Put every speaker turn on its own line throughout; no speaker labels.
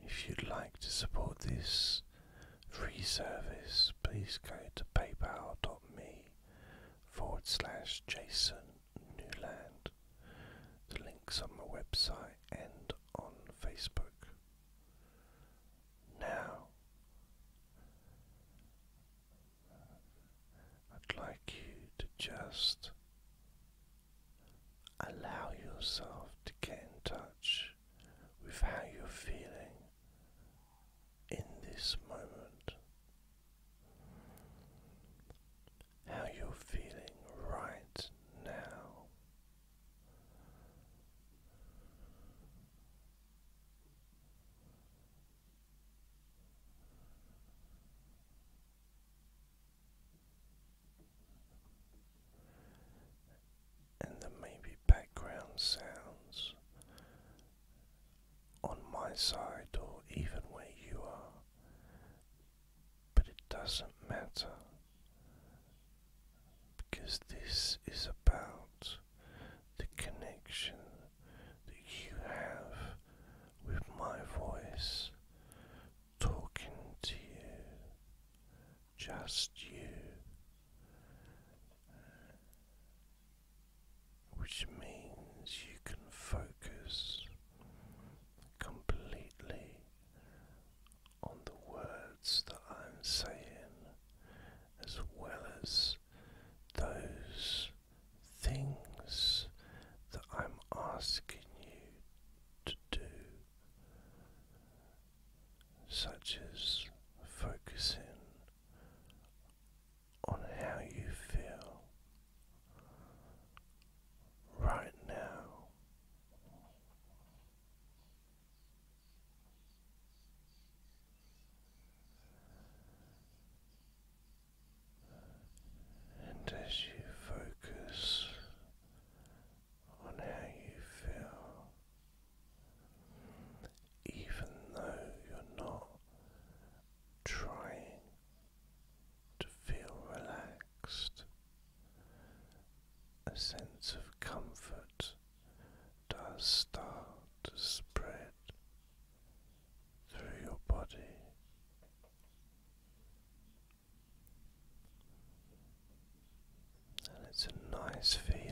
If you'd like to support this free service, please go to paypal.me forward slash Jason Newland. The links on my website and on Facebook. Now, I'd like you to just Allow yourself to get in touch with how you're feeling in this moment. How you're feeling right now and there may be background sounds on my side or even where you are, but it doesn't matter because this is about the connection that you have with my voice talking to you, just you, which means you can focus completely on the words that I'm saying as well as those things that I'm asking you to do such as focusing on how you feel right now. And as you focus on how you feel, even though you're not trying to feel relaxed. A sense of comfort does start to spread through your body. And it's a nice feeling.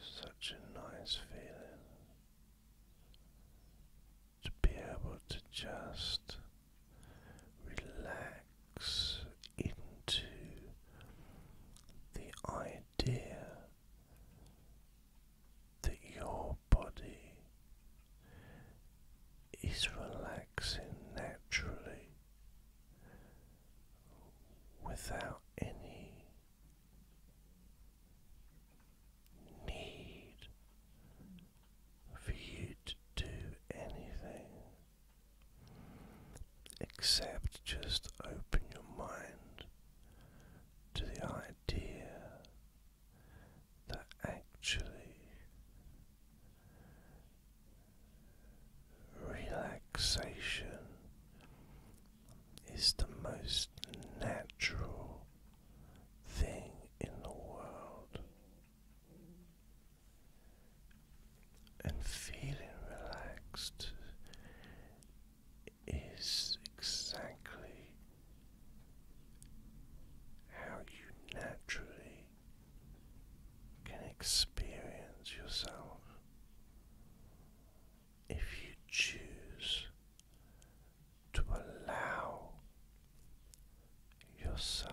Such a nice feeling to be able to just relax into the idea that your body is relaxing naturally without any need for you to do anything except just open your mind to the idea that actually relaxation is the most natural thing in the world. And feeling relaxed is exactly how you naturally can experience yourself if you choose to allow yourself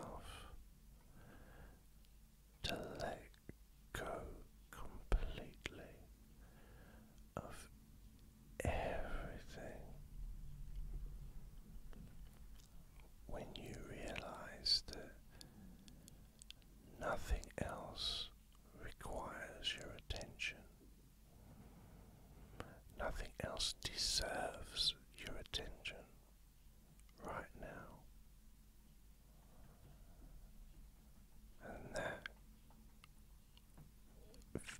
to let go completely of everything when you realize that nothing else requires your attention. Nothing else deserves your attention right now. And that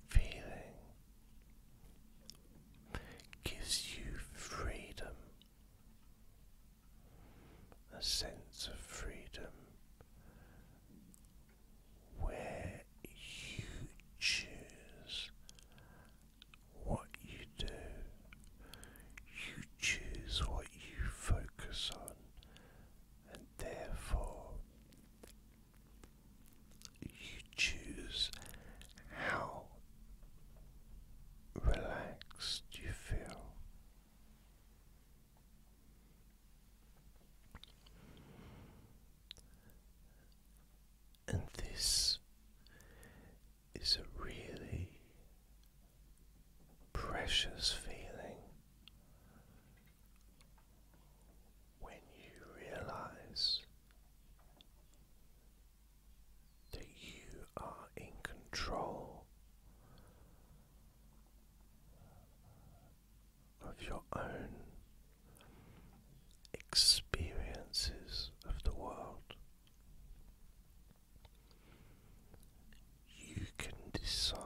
feeling gives you freedom, a sense of freedom where you choose what you do, you choose what you focus on and therefore you choose how relaxed you feel. And this is a really precious feeling when you realize that you are in control of your own experiences of the world. You can decide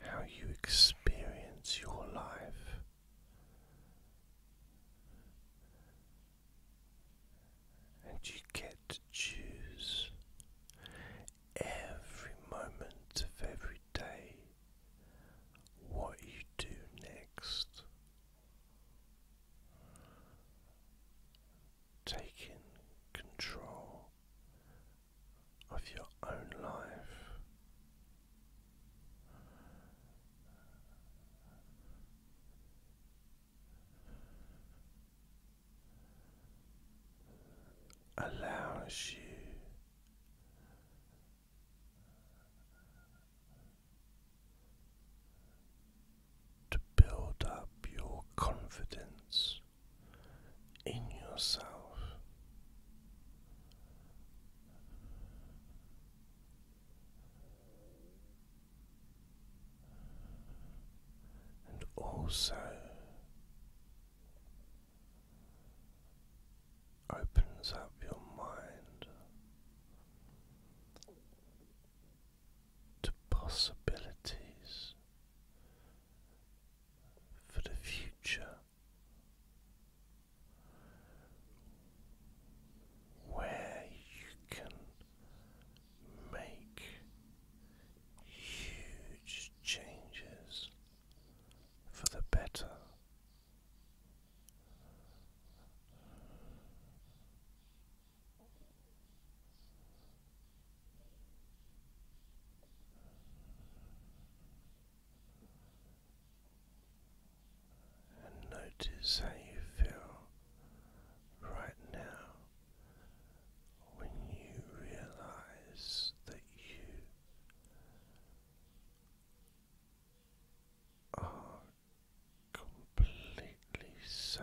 how you experience your life. And you get to choose every moment of every day what you do next taking control of your own life. Allows you to build up your confidence in yourself. And also opens up your mind to possibilities for the future where you can make huge changes for the better. And notice how you feel right now when you realize that you are completely safe.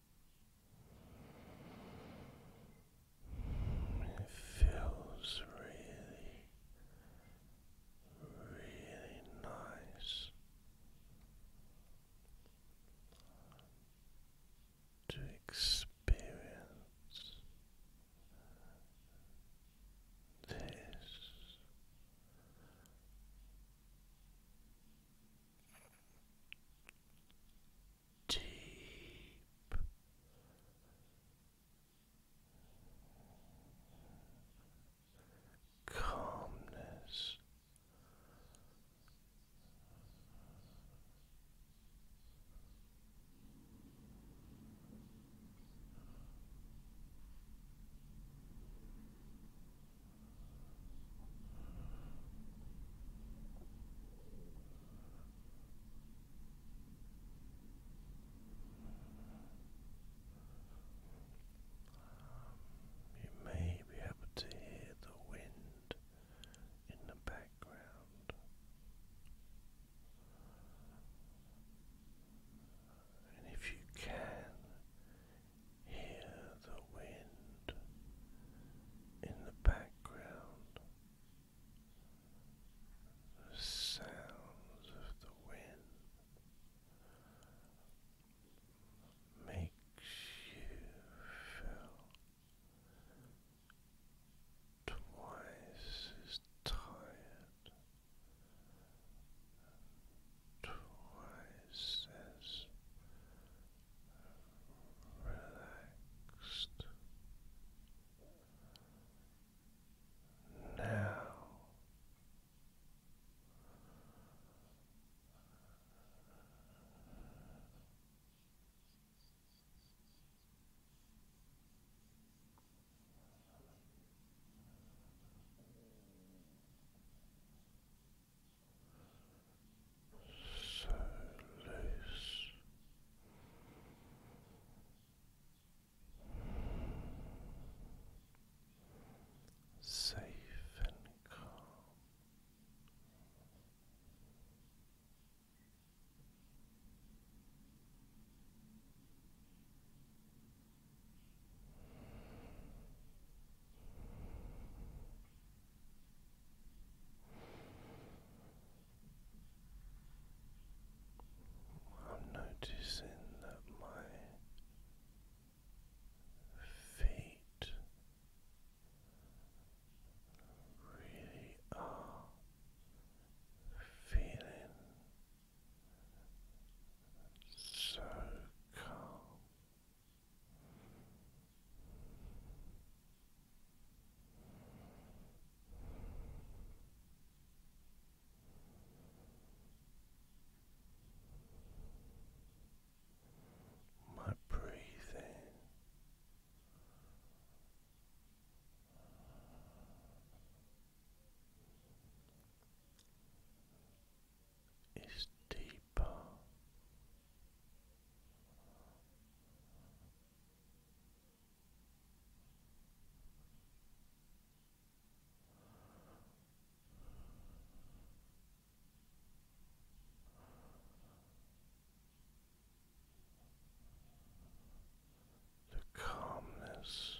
It feels really, really nice to experience this deep calmness. You may be able to hear the wind in the background. And if you can, Hear the wind in the background, the sounds of the wind makes you feel twice as tired, twice as Relax Now so loose. Safe and calm. I'm noticing that my feet really are feeling so calm. My breathing. Is deeper the calmness.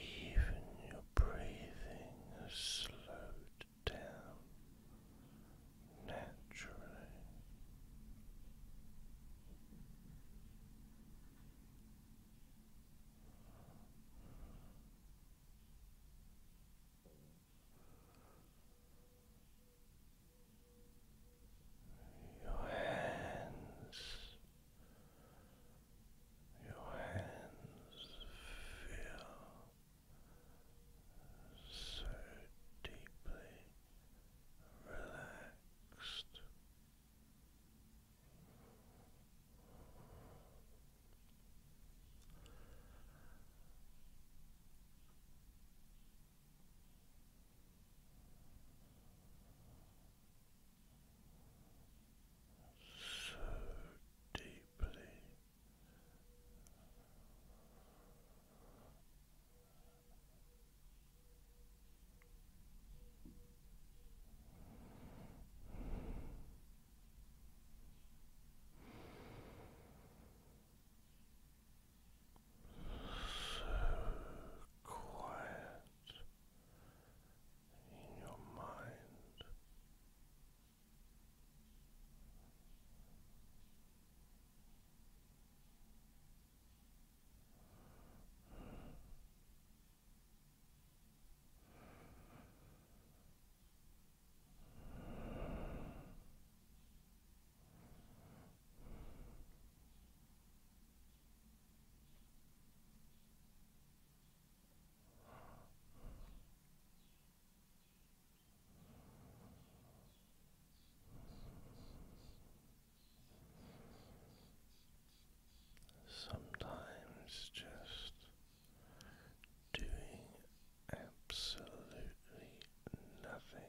Even your breathing has slowed down naturally your hands, your hands feel so deeply relaxed so deeply so quiet in your mind. Sometimes just doing absolutely nothing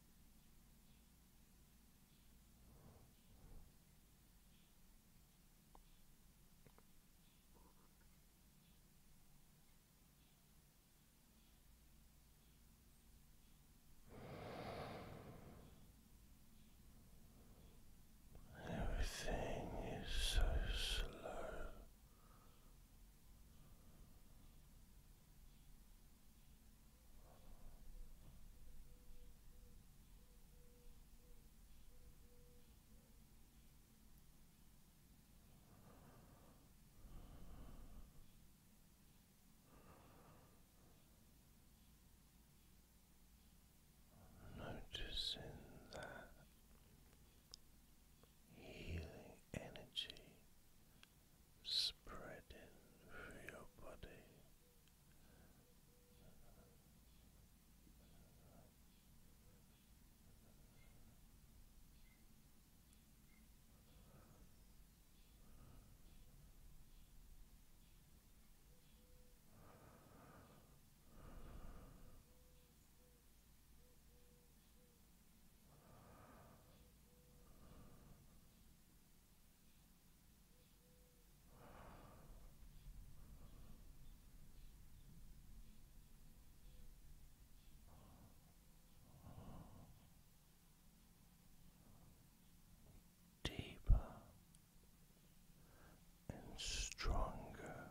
Everything is so slow. Noticing that healing energy spreading through your body. Deeper and stronger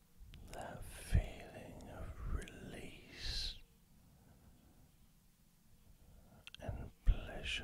that feeling of release and pleasure.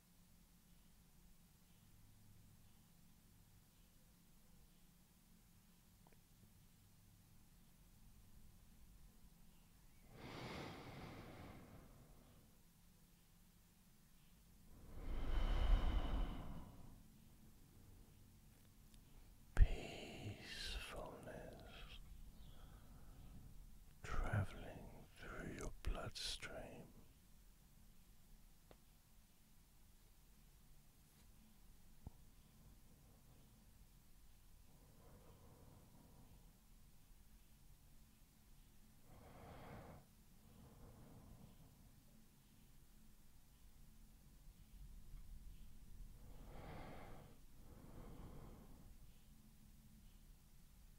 Peacefulness traveling through your bloodstream.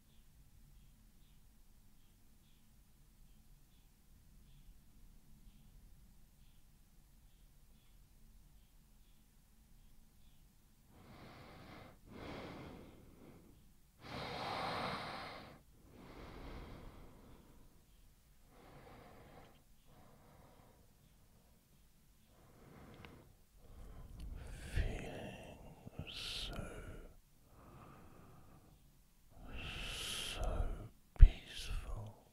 Feeling so so peaceful. Peacefulness.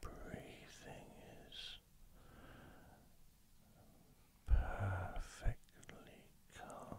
breathing is perfectly calm.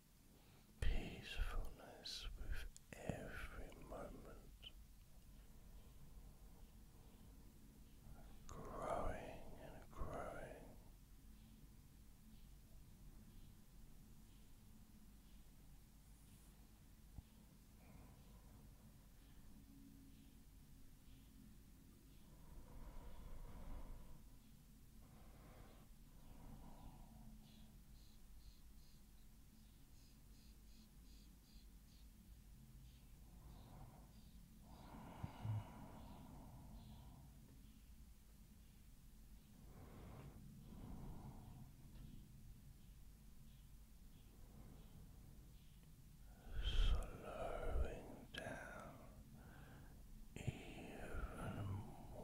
peacefulness with every moment, growing and growing. Slowing down even more.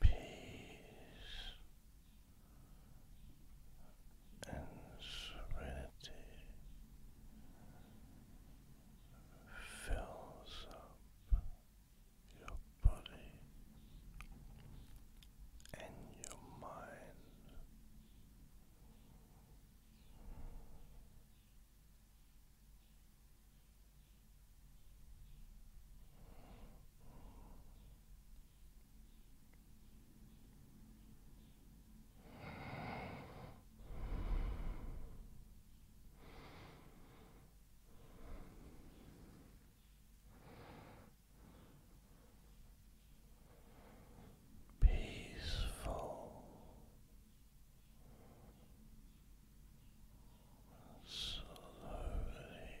Peace and serenity fills up your body and your mind peaceful, slowly.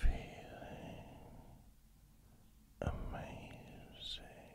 Feeling amazing, amazing.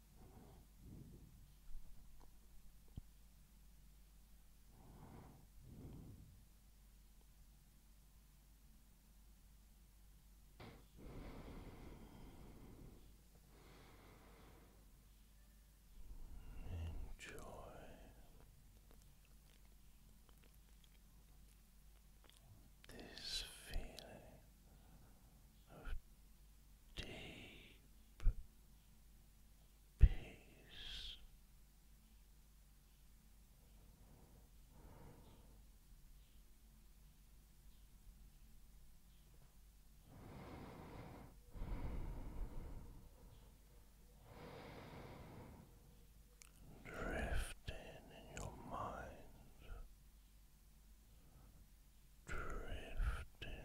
Enjoy this feeling of deep peace. Drifting in your mind, drifting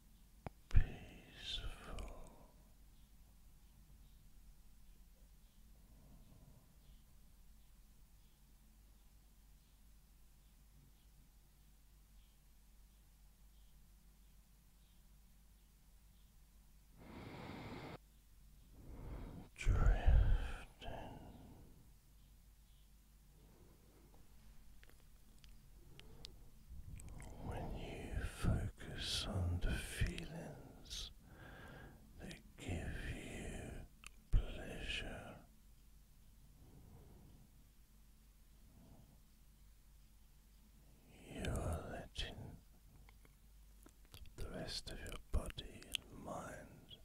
peaceful. Drifting when you focus on the feelings that give you pleasure, you are letting the rest of your body and mind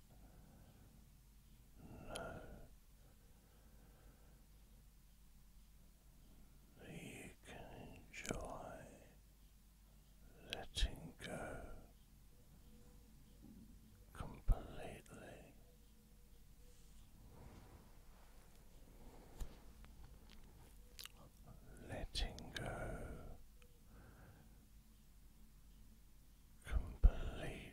know that you can enjoy letting go completely. Letting go completely.